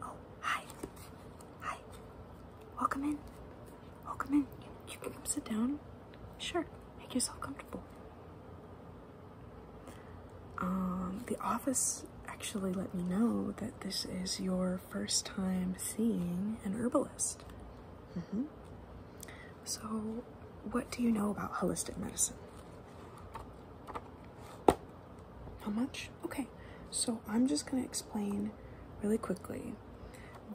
Oh, hi. Hi. Welcome in. Welcome in. You can come sit down. Sure. Make yourself comfortable. Um, the office actually let me know that this is your first time seeing an herbalist. -hmm. So, what do you know about holistic medicine? How much? Okay, so I'm just going to explain really quickly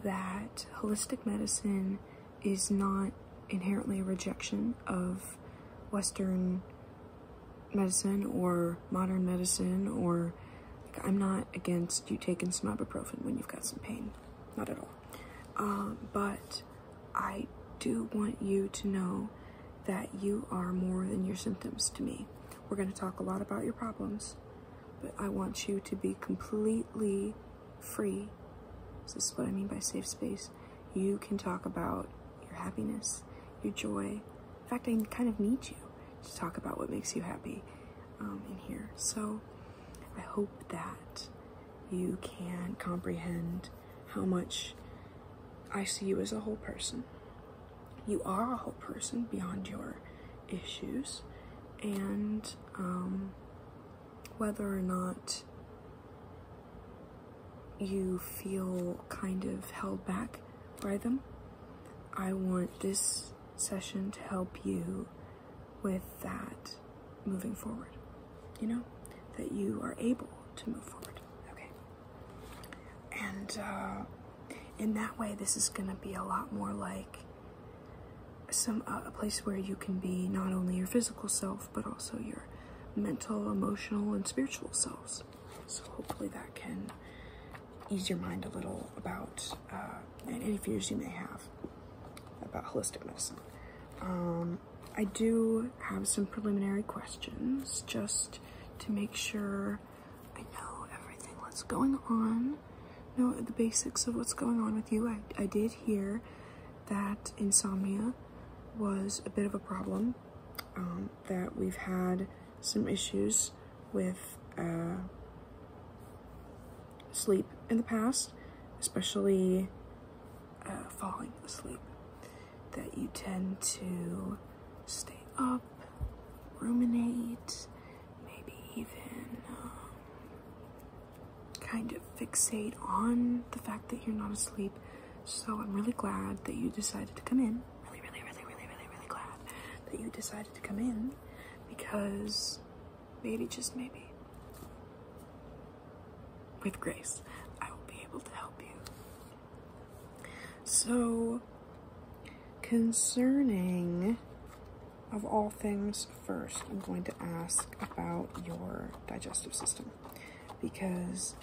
that holistic medicine is not inherently a rejection of Western medicine or modern medicine or I'm not against you taking some ibuprofen when you've got some pain, not at all. Uh, but I do want you to know that you are more than your symptoms to me. We're going to talk a lot about your problems, but I want you to be completely free. This is what I mean by safe space. You can talk about your happiness, your joy. In fact, I kind of need you to talk about what makes you happy um, in here. So I hope that you can't comprehend how much I see you as a whole person. You are a whole person beyond your issues, and um, whether or not you feel kind of held back by them, I want this session to help you with that moving forward. You know, that you are able to move forward. Okay. And uh, in that way, this is going to be a lot more like some uh, a place where you can be not only your physical self but also your mental, emotional, and spiritual selves. So hopefully that can ease your mind a little about uh, any fears you may have about holistic medicine. Um, I do have some preliminary questions just to make sure I know everything that's going on. Know the basics of what's going on with you. I, I did hear that insomnia was a bit of a problem, um, that we've had some issues with uh, sleep in the past, especially uh, falling asleep that you tend to stay up, ruminate, maybe even um, kind of fixate on the fact that you're not asleep. So I'm really glad that you decided to come in. Really, really, really, really, really, really glad that you decided to come in because maybe, just maybe, with grace, I will be able to help you. So, concerning, of all things, first, I'm going to ask about your digestive system because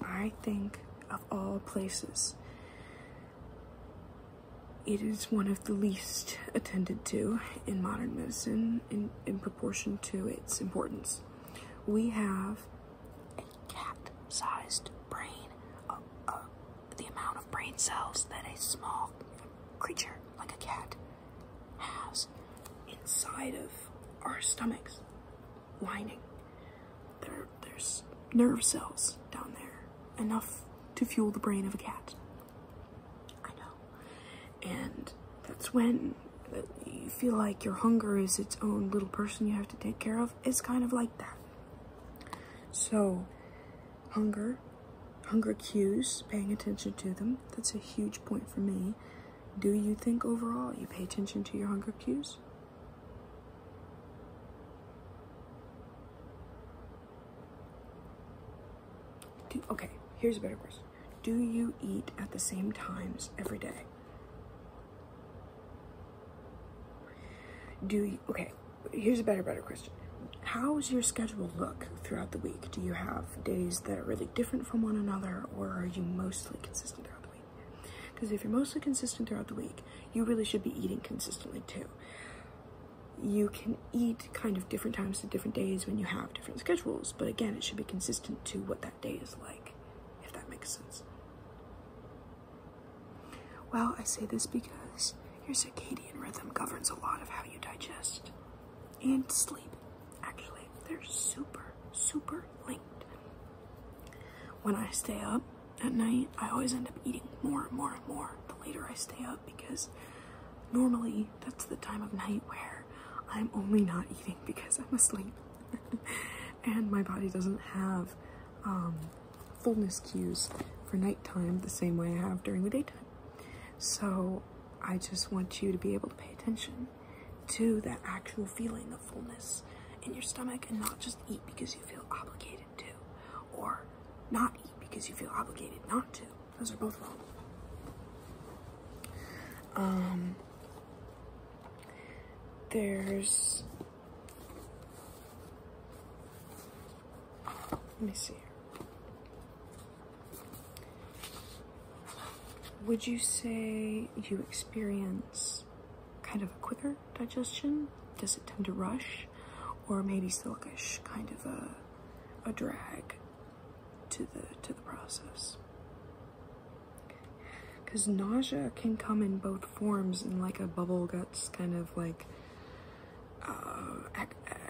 I think of all places, it is one of the least attended to in modern medicine in, in proportion to its importance we have a cat-sized brain, uh, uh, the amount of brain cells that a small creature like a cat has inside of our stomachs lining. There, there's nerve cells down there, enough to fuel the brain of a cat. I know. And that's when you feel like your hunger is its own little person you have to take care of. It's kind of like that. So, hunger, hunger cues, paying attention to them. That's a huge point for me. Do you think overall you pay attention to your hunger cues? okay, here's a better question. Do you eat at the same times every day? Do okay, here's a better, better question. How's your schedule look throughout the week? Do you have days that are really different from one another, or are you mostly consistent throughout the week? Because if you're mostly consistent throughout the week, you really should be eating consistently too. You can eat kind of different times to different days when you have different schedules, but again, it should be consistent to what that day is like if that makes sense. Well, I say this because your circadian rhythm governs a lot of how you digest and sleep. Actually, they're super, super linked. When I stay up at night, I always end up eating more and more and more the later I stay up because normally that's the time of night where I'm only not eating because I'm asleep. and my body doesn't have um, fullness cues for nighttime the same way I have during the daytime. So I just want you to be able to pay attention to that actual feeling of fullness in your stomach and not just eat because you feel obligated to or not eat because you feel obligated not to. Those are both wrong. Um, there's, let me see. Would you say you experience kind of a quicker digestion? Does it tend to rush? Or maybe sluggish, kind of a, a drag to the, to the process? Because nausea can come in both forms, in like a bubble guts kind of like uh,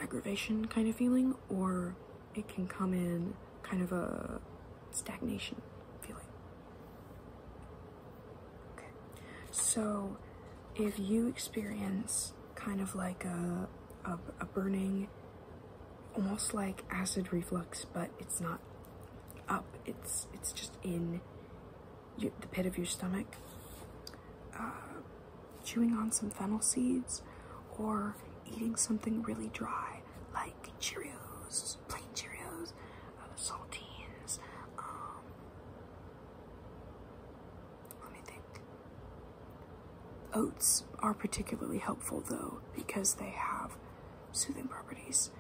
aggravation kind of feeling, or it can come in kind of a stagnation feeling. so if you experience kind of like a, a burning almost like acid reflux, but it's not up. It's it's just in the pit of your stomach. Uh, chewing on some fennel seeds, or eating something really dry like Cheerios, plain Cheerios, uh, saltines. Um, let me think. Oats are particularly helpful though because they have soothing properties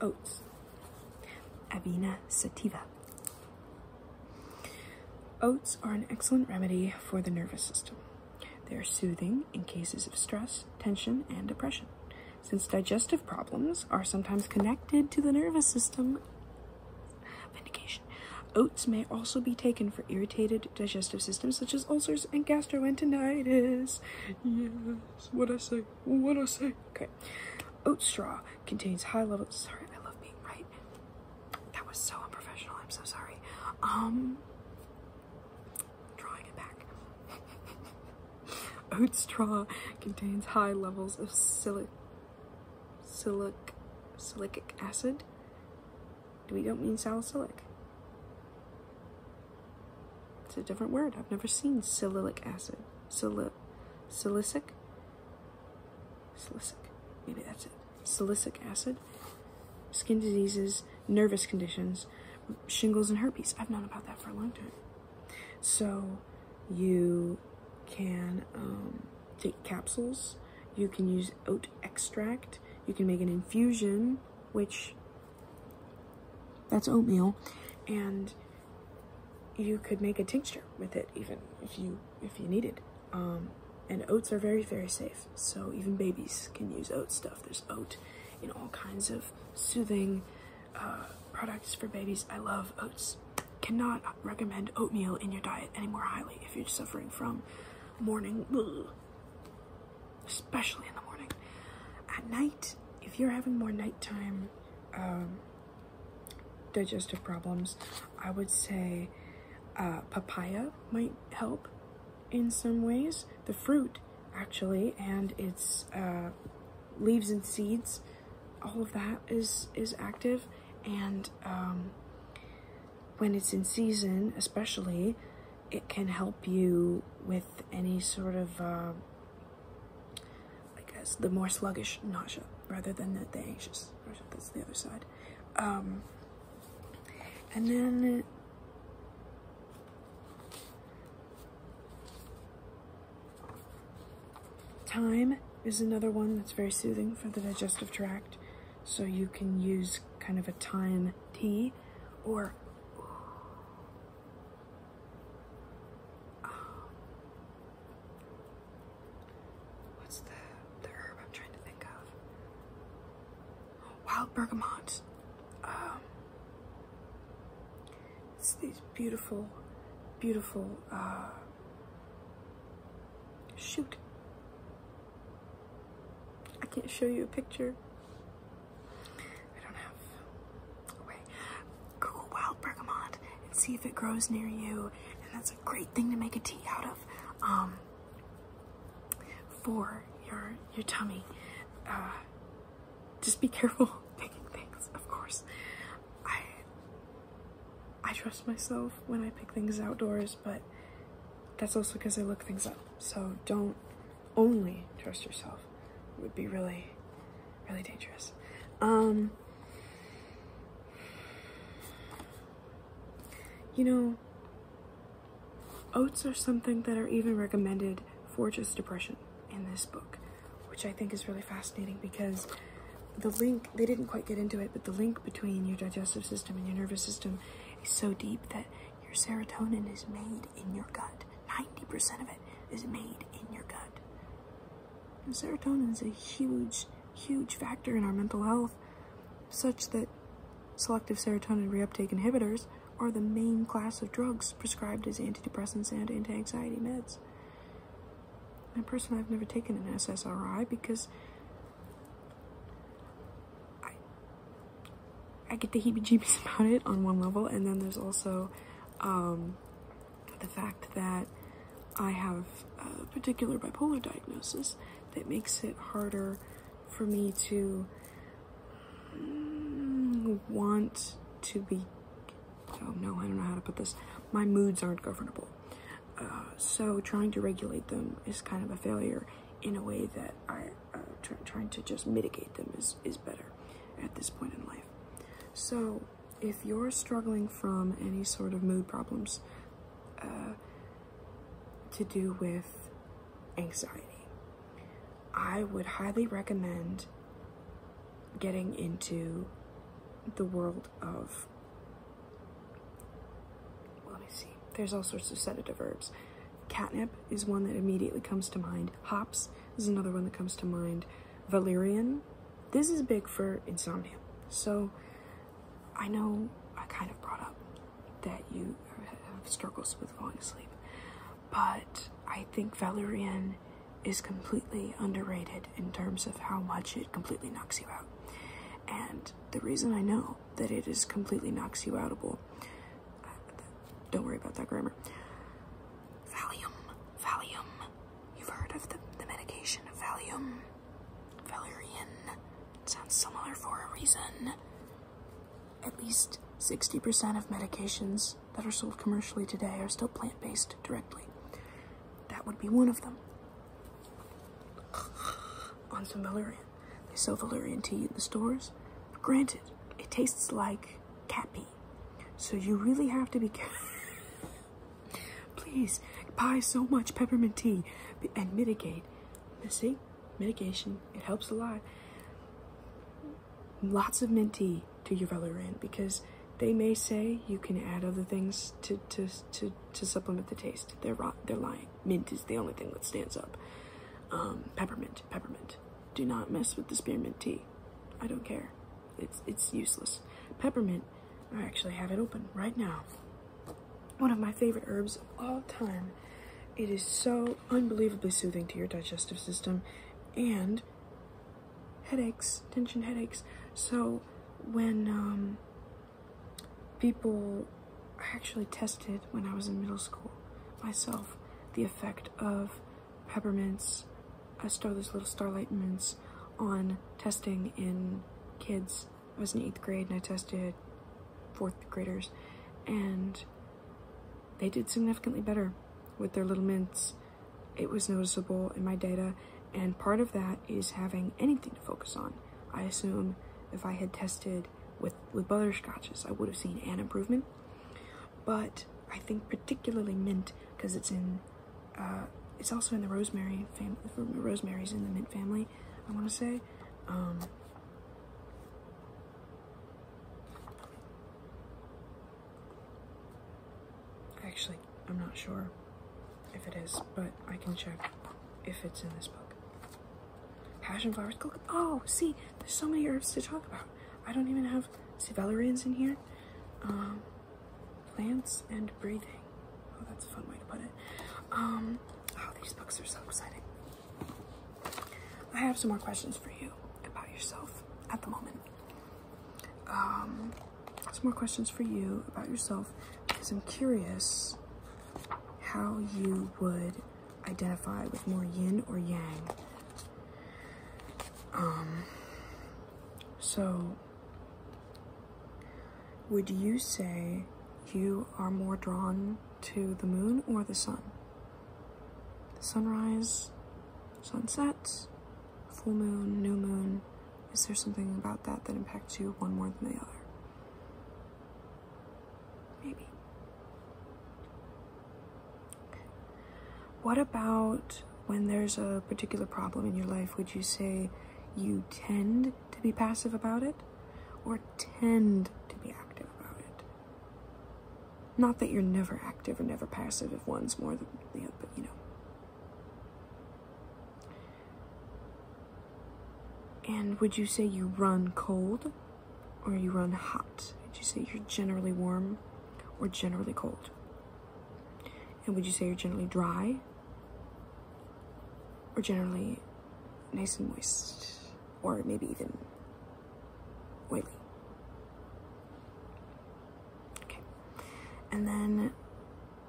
Oats. Avena sativa. Oats are an excellent remedy for the nervous system. They are soothing in cases of stress, tension, and depression. Since digestive problems are sometimes connected to the nervous system, vindication. Oats may also be taken for irritated digestive systems such as ulcers and gastroenteritis. Yes, what I say. What do I say? Okay. Oat straw contains high levels. Sorry, I love being right. That was so unprofessional. I'm so sorry. Um, drawing it back. Oat straw contains high levels of silic, silic, silicic acid. We don't mean salicylic. It's a different word. I've never seen salicylic acid. Sali silicic? Silicic. Maybe that's it. Silicic acid. Skin diseases, nervous conditions, shingles, and herpes. I've known about that for a long time. So you can um, take capsules. You can use oat extract. You can make an infusion, which that's oatmeal, and you could make a tincture with it even if you if you needed. Um, and oats are very very safe, so even babies can use oat stuff. There's oat in all kinds of soothing uh, products for babies. I love oats. Cannot recommend oatmeal in your diet any more highly if you're suffering from morning especially in the morning. At night, if you're having more nighttime um, digestive problems, I would say uh, papaya might help in some ways. The fruit, actually, and its uh, leaves and seeds, all of that is, is active. And um, when it's in season, especially, it can help you with any sort of uh, I guess the more sluggish nausea rather than the, the anxious nausea. That's the other side. Um, and then time is another one that's very soothing for the digestive tract. So you can use kind of a time tea or um, what's the the herb I'm trying to think of? Wild bergamot. Um, it's these beautiful, beautiful. Uh, shoot, I can't show you a picture. I don't have a Google wild bergamot and see if it grows near you. And that's a great thing to make a tea out of um, for your your tummy. Uh, just be careful picking things, of course. I I trust myself when I pick things outdoors, but that's also because I look things up. So don't only trust yourself would be really, really dangerous. Um, you know, oats are something that are even recommended for just depression in this book, which I think is really fascinating because the link, they didn't quite get into it, but the link between your digestive system and your nervous system is so deep that your serotonin is made in your gut. 90% of it is made in your gut. serotonin is a huge, huge factor in our mental health, such that selective serotonin reuptake inhibitors are the main class of drugs prescribed as antidepressants and anti-anxiety meds. And personally, I've never taken an SSRI because I get the heebie-jeebies about it on one level, and then there's also um, the fact that I have a particular bipolar diagnosis that makes it harder for me to mm, want to be. Oh no, I don't know how to put this. My moods aren't governable. Uh, so trying to regulate them is kind of a failure in a way that I uh, trying to just mitigate them is, is better at this point in life. So, if you're struggling from any sort of mood problems uh, to do with anxiety, I would highly recommend getting into the world of. Let me see. There's all sorts of sedative herbs. Catnip is one that immediately comes to mind. Hops is another one that comes to mind valerian. This is big for insomnia. So I know I kind of brought up that you have struggles with falling asleep, but I think valerian is completely underrated in terms of how much it completely knocks you out. And the reason I know that it is completely knocks you outable, uh, don't worry about that grammar, Valium, Valium. You've heard of the, the medication Valium. Valerian. sounds similar for a reason. At least 60% of medications that are sold commercially today are still plant based directly. That would be one of them. On some Valerian. They sell Valerian tea in the stores. Granted, it tastes like cat pee. So you really have to be careful. Please buy so much peppermint tea and mitigate. See, mitigation, it helps a lot. Lots of mint tea to your valerian because they may say you can add other things to, to, to, supplement the taste. They're, they're lying. Mint is the only thing that stands up. Um, peppermint, peppermint. Do not mess with the spearmint tea. I don't care. It's it's useless. Peppermint. I actually have it open right now. One of my favorite herbs of all time. It is so unbelievably soothing to your digestive system and headaches, tension headaches. So when um, people I actually tested when I was in middle school myself the effect of peppermints. I stole those little starlight mints on testing in kids. I was in eighth grade and I tested fourth graders, and they did significantly better with their little mints. It was noticeable in my data, and part of that is having anything to focus on. I assume if I had tested with, with butterscotches, I would have seen an improvement, but I think particularly mint because it's in uh, it's also in the rosemary family. Rosemary's in the mint family, I want to say. Um, actually, I'm not sure if it is, but I can check if it's in this book. Passion flowers, oh, see, there's so many herbs to talk about. I don't even have Sivalerians in here. Um, plants and breathing. Oh, that's a fun way to put it. Um, oh, these books are so exciting. I have some more questions for you about yourself at the moment. Um, some more questions for you about yourself because I'm curious how you would identify with more yin or yang. Um, so, would you say you are more drawn to the moon or the sun? Sunrise, sunset, full moon, new moon. Is there something about that that impacts you one more than the other? Maybe. What about when there's a particular problem in your life? Would you say you tend to be passive about it or tend to be active about it? Not that you're never active or never passive if one's more than the other, but you know. And would you say you run cold or you run hot? Would you say you're generally warm or generally cold? And would you say you're generally dry? Or generally nice and moist? Or maybe even oily? Okay. And then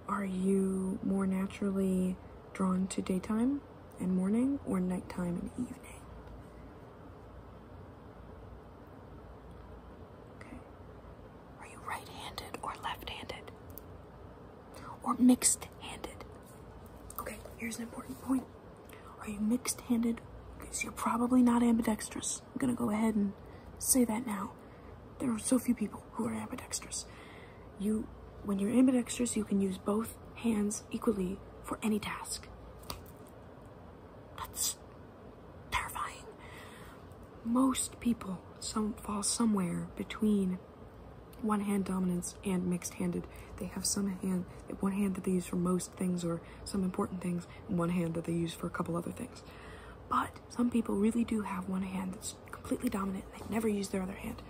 are you more naturally drawn to daytime and morning or nighttime and evening? Are you right handed or left handed? Or mixed handed? Okay, here's an important point. Are you mixed handed? Because you're probably not ambidextrous. I'm gonna go ahead and say that now. There are so few people who are ambidextrous. You, when you're ambidextrous, you can use both hands equally for any task. That's terrifying. Most people some fall somewhere between one hand dominance and mixed handed. They have some hand, one hand that they use for most things or some important things, and one hand that they use for a couple other things. But some people really do have one hand that's completely dominant. They never use their other hand.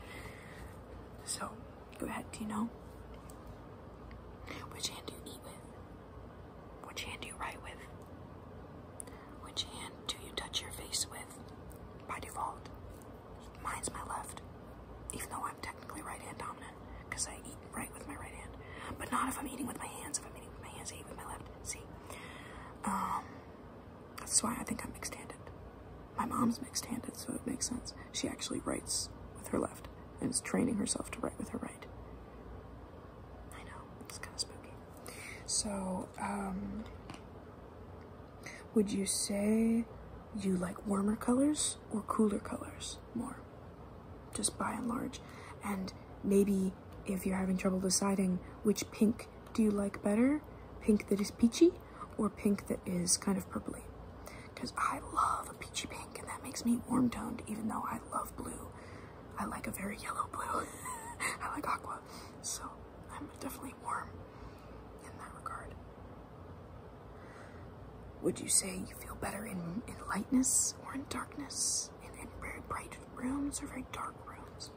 So, go ahead. Do you know which hand do you eat with? Which hand do you write with? Which hand do you touch your face with? By default, mine's my left. Even though I'm technically right hand dominant, because I eat right with my right hand. But not if I'm eating with my hands. If I'm eating with my hands, I eat with my left. See? Um, that's why I think I'm mixed handed. My mom's mixed handed, so it makes sense. She actually writes with her left and is training herself to write with her right. I know, it's kind of spooky. So, um, would you say you like warmer colors or cooler colors more? Just by and large. And maybe if you're having trouble deciding which pink do you like better, pink that is peachy or pink that is kind of purply? Because I love a peachy pink and that makes me warm toned even though I love blue. I like a very yellow blue. I like aqua. So I'm definitely warm in that regard. Would you say you feel better in, in lightness or in darkness? In, in very bright rooms or very dark rooms?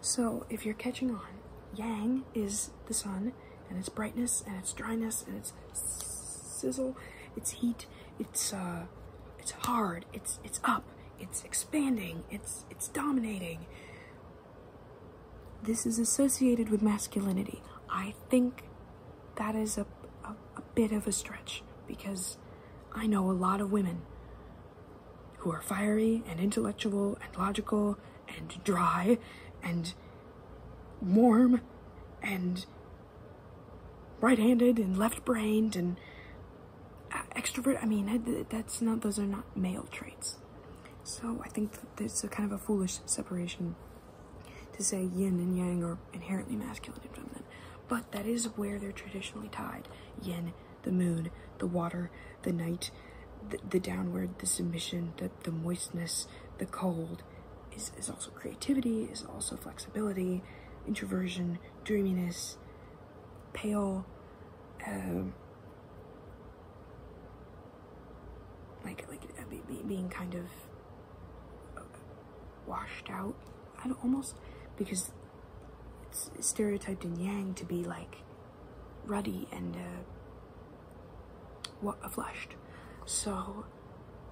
So if you're catching on, yang is the sun and its brightness and its dryness and its it's sizzle, it's heat, it's uh, it's hard, it's it's up, it's expanding, it's it's dominating. This is associated with masculinity. I think that is a, a bit of a stretch because I know a lot of women who are fiery and intellectual and logical and dry and warm and right-handed and left-brained and uh, extrovert. I mean, that's not, those are not male traits. So I think that kind of a foolish separation to say yin and yang are inherently masculine and feminine. But that is where they're traditionally tied. Yin, the moon, the water, the night, the, downward, the submission, the moistness, the cold, is, is also creativity, is also flexibility, introversion, dreaminess, pale, um, like like uh, being kind of uh, washed out. almost because it's stereotyped in Yang to be like ruddy and uh, flushed. So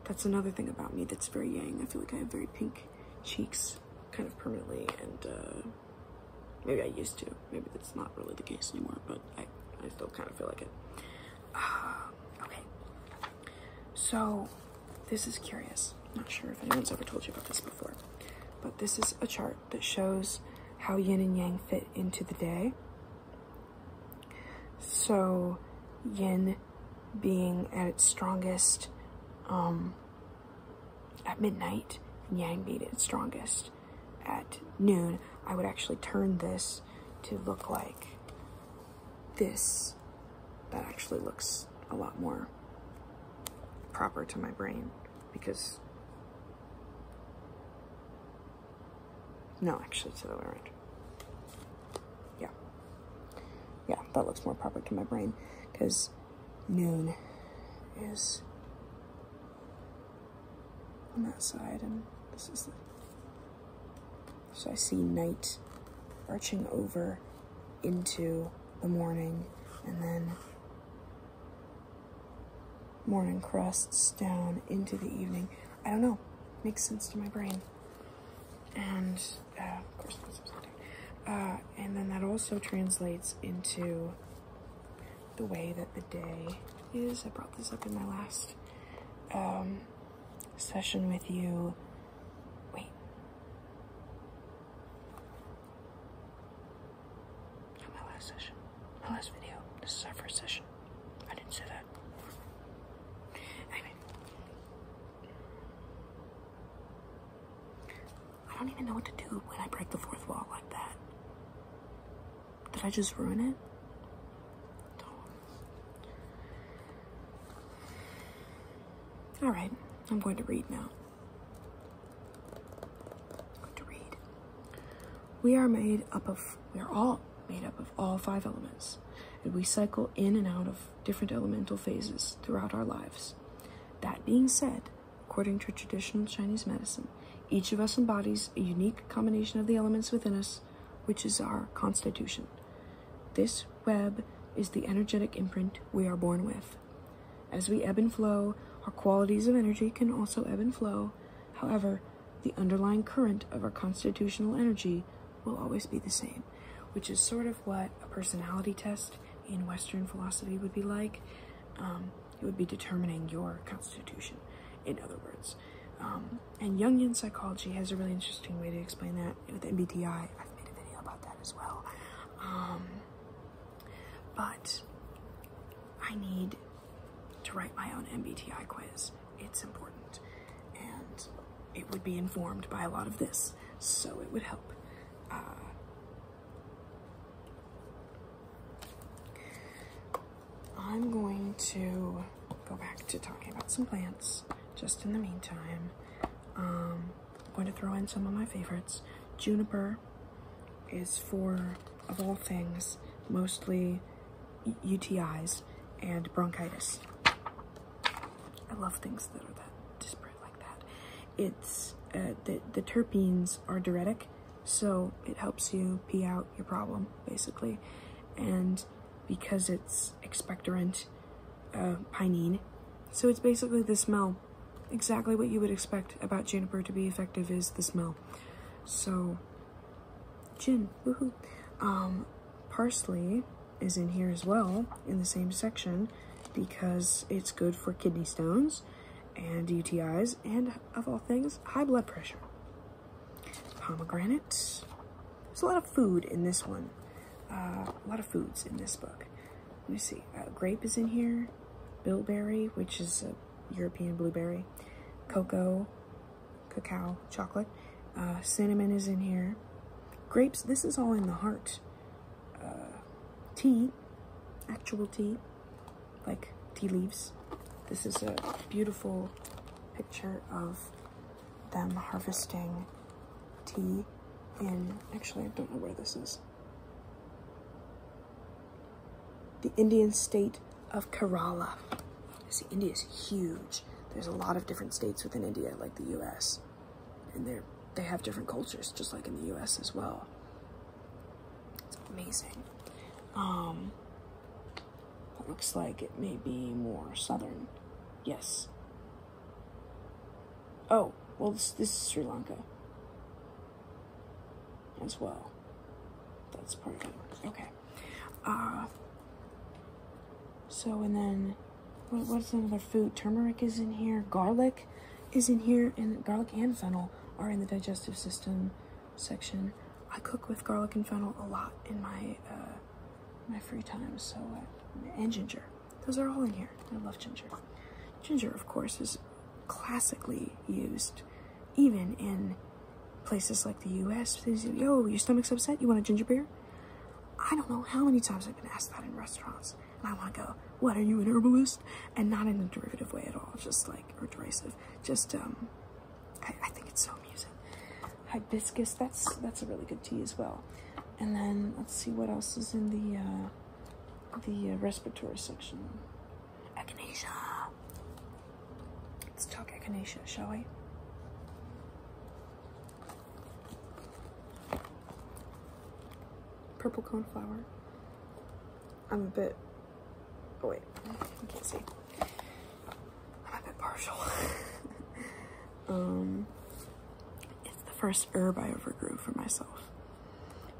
that's another thing about me that's very yang. I feel like I have very pink cheeks kind of permanently, and uh, maybe I used to. Maybe that's not really the case anymore, but I, I still kind of feel like it. Uh, okay. So, this is curious. not sure if anyone's ever told you about this before, but this is a chart that shows how yin and yang fit into the day. So, yin being at its strongest um, at midnight, yang being its strongest at noon. I would actually turn this to look like this. That actually looks a lot more proper to my brain because no, actually, it's the other way around. Yeah. Yeah, that looks more proper to my brain because noon is on that side and this is so I see night arching over into the morning and then morning crests down into the evening. I don't know. Makes sense to my brain and uh, of course uh, and then that also translates into the way that the day is. I brought this up in my last um, session with you. Wait. my last session. My last video. This is our first session. I didn't say that. Anyway. I don't even know what to do when I break the fourth wall like that. Did I just ruin it? Alright, I'm going to read now. to read. We are made up of, we are all made up of all five elements, and we cycle in and out of different elemental phases throughout our lives. That being said, according to traditional Chinese medicine, each of us embodies a unique combination of the elements within us, which is our constitution. This web is the energetic imprint we are born with. As we ebb and flow, our qualities of energy can also ebb and flow. However, the underlying current of our constitutional energy will always be the same, which is sort of what a personality test in Western philosophy would be like. Um, it would be determining your constitution, in other words. Um, and Jungian psychology has a really interesting way to explain that with MBTI. I've made a video about that as well. Um, but I need to write my own MBTI quiz it's important. And it would be informed by a lot of this, so it would help. Uh, I'm going to go back to talking about some plants just in the meantime. Um, I'm going to throw in some of my favorites. Juniper is for, of all things, mostly UTIs and bronchitis. I love things that are that disparate like that. It's uh, the the terpenes are diuretic, so it helps you pee out your problem basically, and because it's expectorant, uh, pinene, so it's basically the smell. Exactly what you would expect about juniper to be effective is the smell. So, gin, woohoo. Um, Parsley is in here as well in the same section because it's good for kidney stones and UTIs and, of all things, high blood pressure. Pomegranate, There's a lot of food in this one. Uh, a lot of foods in this book. Let me see. Uh, grape is in here. Bilberry, which is a European blueberry. Cocoa, cacao, chocolate. Uh, cinnamon is in here. Grapes, this is all in the heart. Uh, tea, actual tea, like tea leaves. This is a beautiful picture of them harvesting tea in, actually, I don't know where this is. The Indian state of Kerala. See, India is huge. There's a lot of different states within India, like the US and they they have different cultures just like in the US as well. It's amazing. Um, it looks like it may be more southern. Yes. Oh, well this, this is Sri Lanka as well. That's part of Okay. Uh so and then what's another food? Turmeric is in here. Garlic is in here. And garlic and fennel are in the digestive system section. I cook with garlic and fennel a lot in my uh, my free time. So uh, and ginger. Those are all in here. I love ginger. Ginger, of course, is classically used, even in places like the U.S. Oh, your stomach's upset? You want a ginger beer? I don't know how many times I've been asked that in restaurants, and I want to go, What are you, an herbalist? And not in a derivative way at all, just like, or derisive. Just, um, I, I think it's so amusing. Hibiscus, that's, that's a really good tea as well. And then let's see what else is in the, uh, the uh, respiratory section. Echinacea. Let's talk echinacea, shall we? Purple cone flower. I'm a bit, oh wait, I can't see. I'm a bit partial. um, it's the first herb I ever grew for myself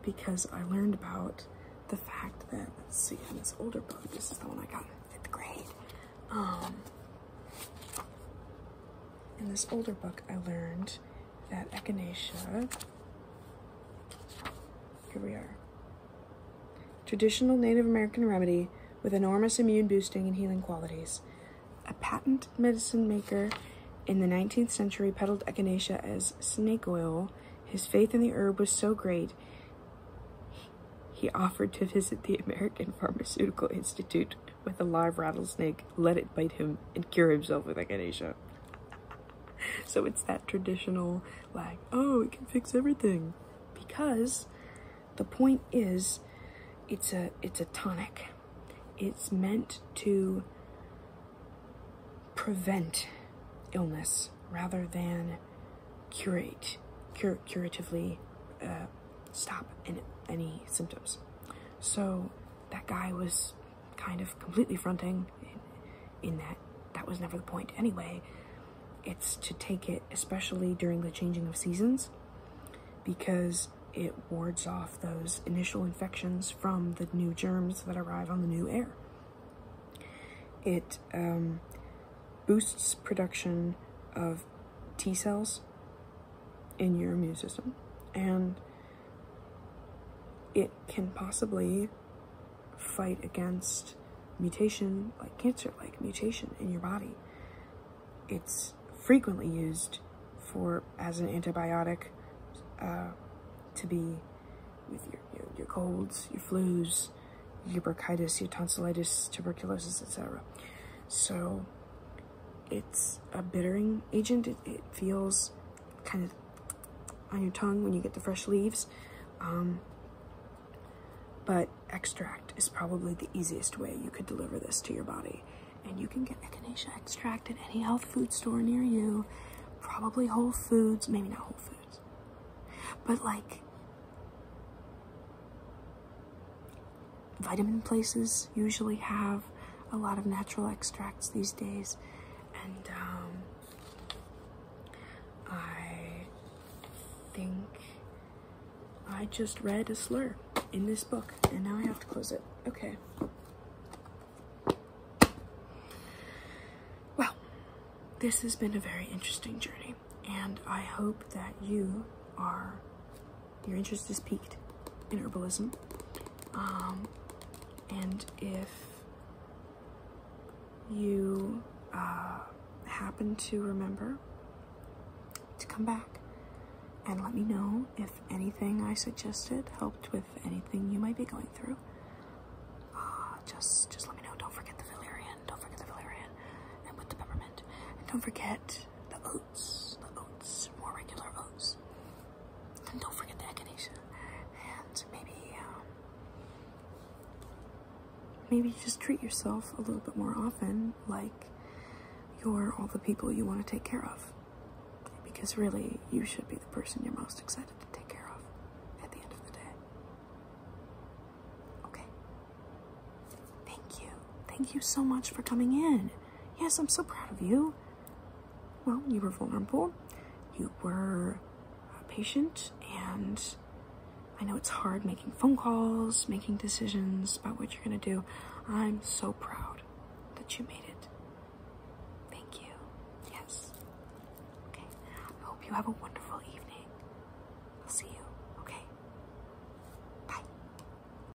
because I learned about the fact that, let's see, in this older book, this is the one I got in fifth grade. Um, in this older book, I learned that echinacea. Here we are. Traditional Native American remedy with enormous immune boosting and healing qualities. A patent medicine maker in the 19th century peddled echinacea as snake oil. His faith in the herb was so great, he offered to visit the American Pharmaceutical Institute with a live rattlesnake, let it bite him, and cure himself with echinacea. so it's that traditional, like, oh, it can fix everything. Because the point is, it's a it's a tonic. It's meant to prevent illness rather than curate, cur- curatively uh, stop any, any symptoms. So that guy was kind of completely fronting in, in that that was never the point anyway. It's to take it, especially during the changing of seasons, because it wards off those initial infections from the new germs that arrive on the new air. It um, boosts production of T cells in your immune system and it can possibly fight against mutation like cancer like mutation in your body it's frequently used for as an antibiotic uh, to be with your, your, your colds your flus your bronchitis your tonsillitis tuberculosis etc so it's a bittering agent. It, feels kind of on your tongue when you get the fresh leaves. Um, but extract is probably the easiest way you could deliver this to your body. And you can get echinacea extract at any health food store near you. Probably Whole Foods, maybe not Whole Foods. But like vitamin places usually have a lot of natural extracts these days, and um, I think I just read a slur in this book, and now I have to close it. Okay. Well, this has been a very interesting journey, and I hope that you are your interest is piqued in herbalism. Um, and if you uh, happen to remember to come back and let me know if anything I suggested helped with anything you might be going through. Uh, just, just let me know. Don't forget the valerian. Don't forget the valerian, and with the peppermint. don't forget the oats, the oats, more regular oats. And don't forget the echinacea. And maybe, um, maybe just treat yourself a little bit more often, like you're all the people you want to take care of. Because really, you should be the person you're most excited to take care of at the end of the day. Okay. Thank you. Thank you so much for coming in. Yes, I'm so proud of you. Well, you were vulnerable, you were uh, patient, and I know it's hard making phone calls, making decisions about what you're going to do. I'm so proud that you made it. Thank you. Yes. Okay. I hope you have a wonderful evening. I'll see you. Okay. Bye.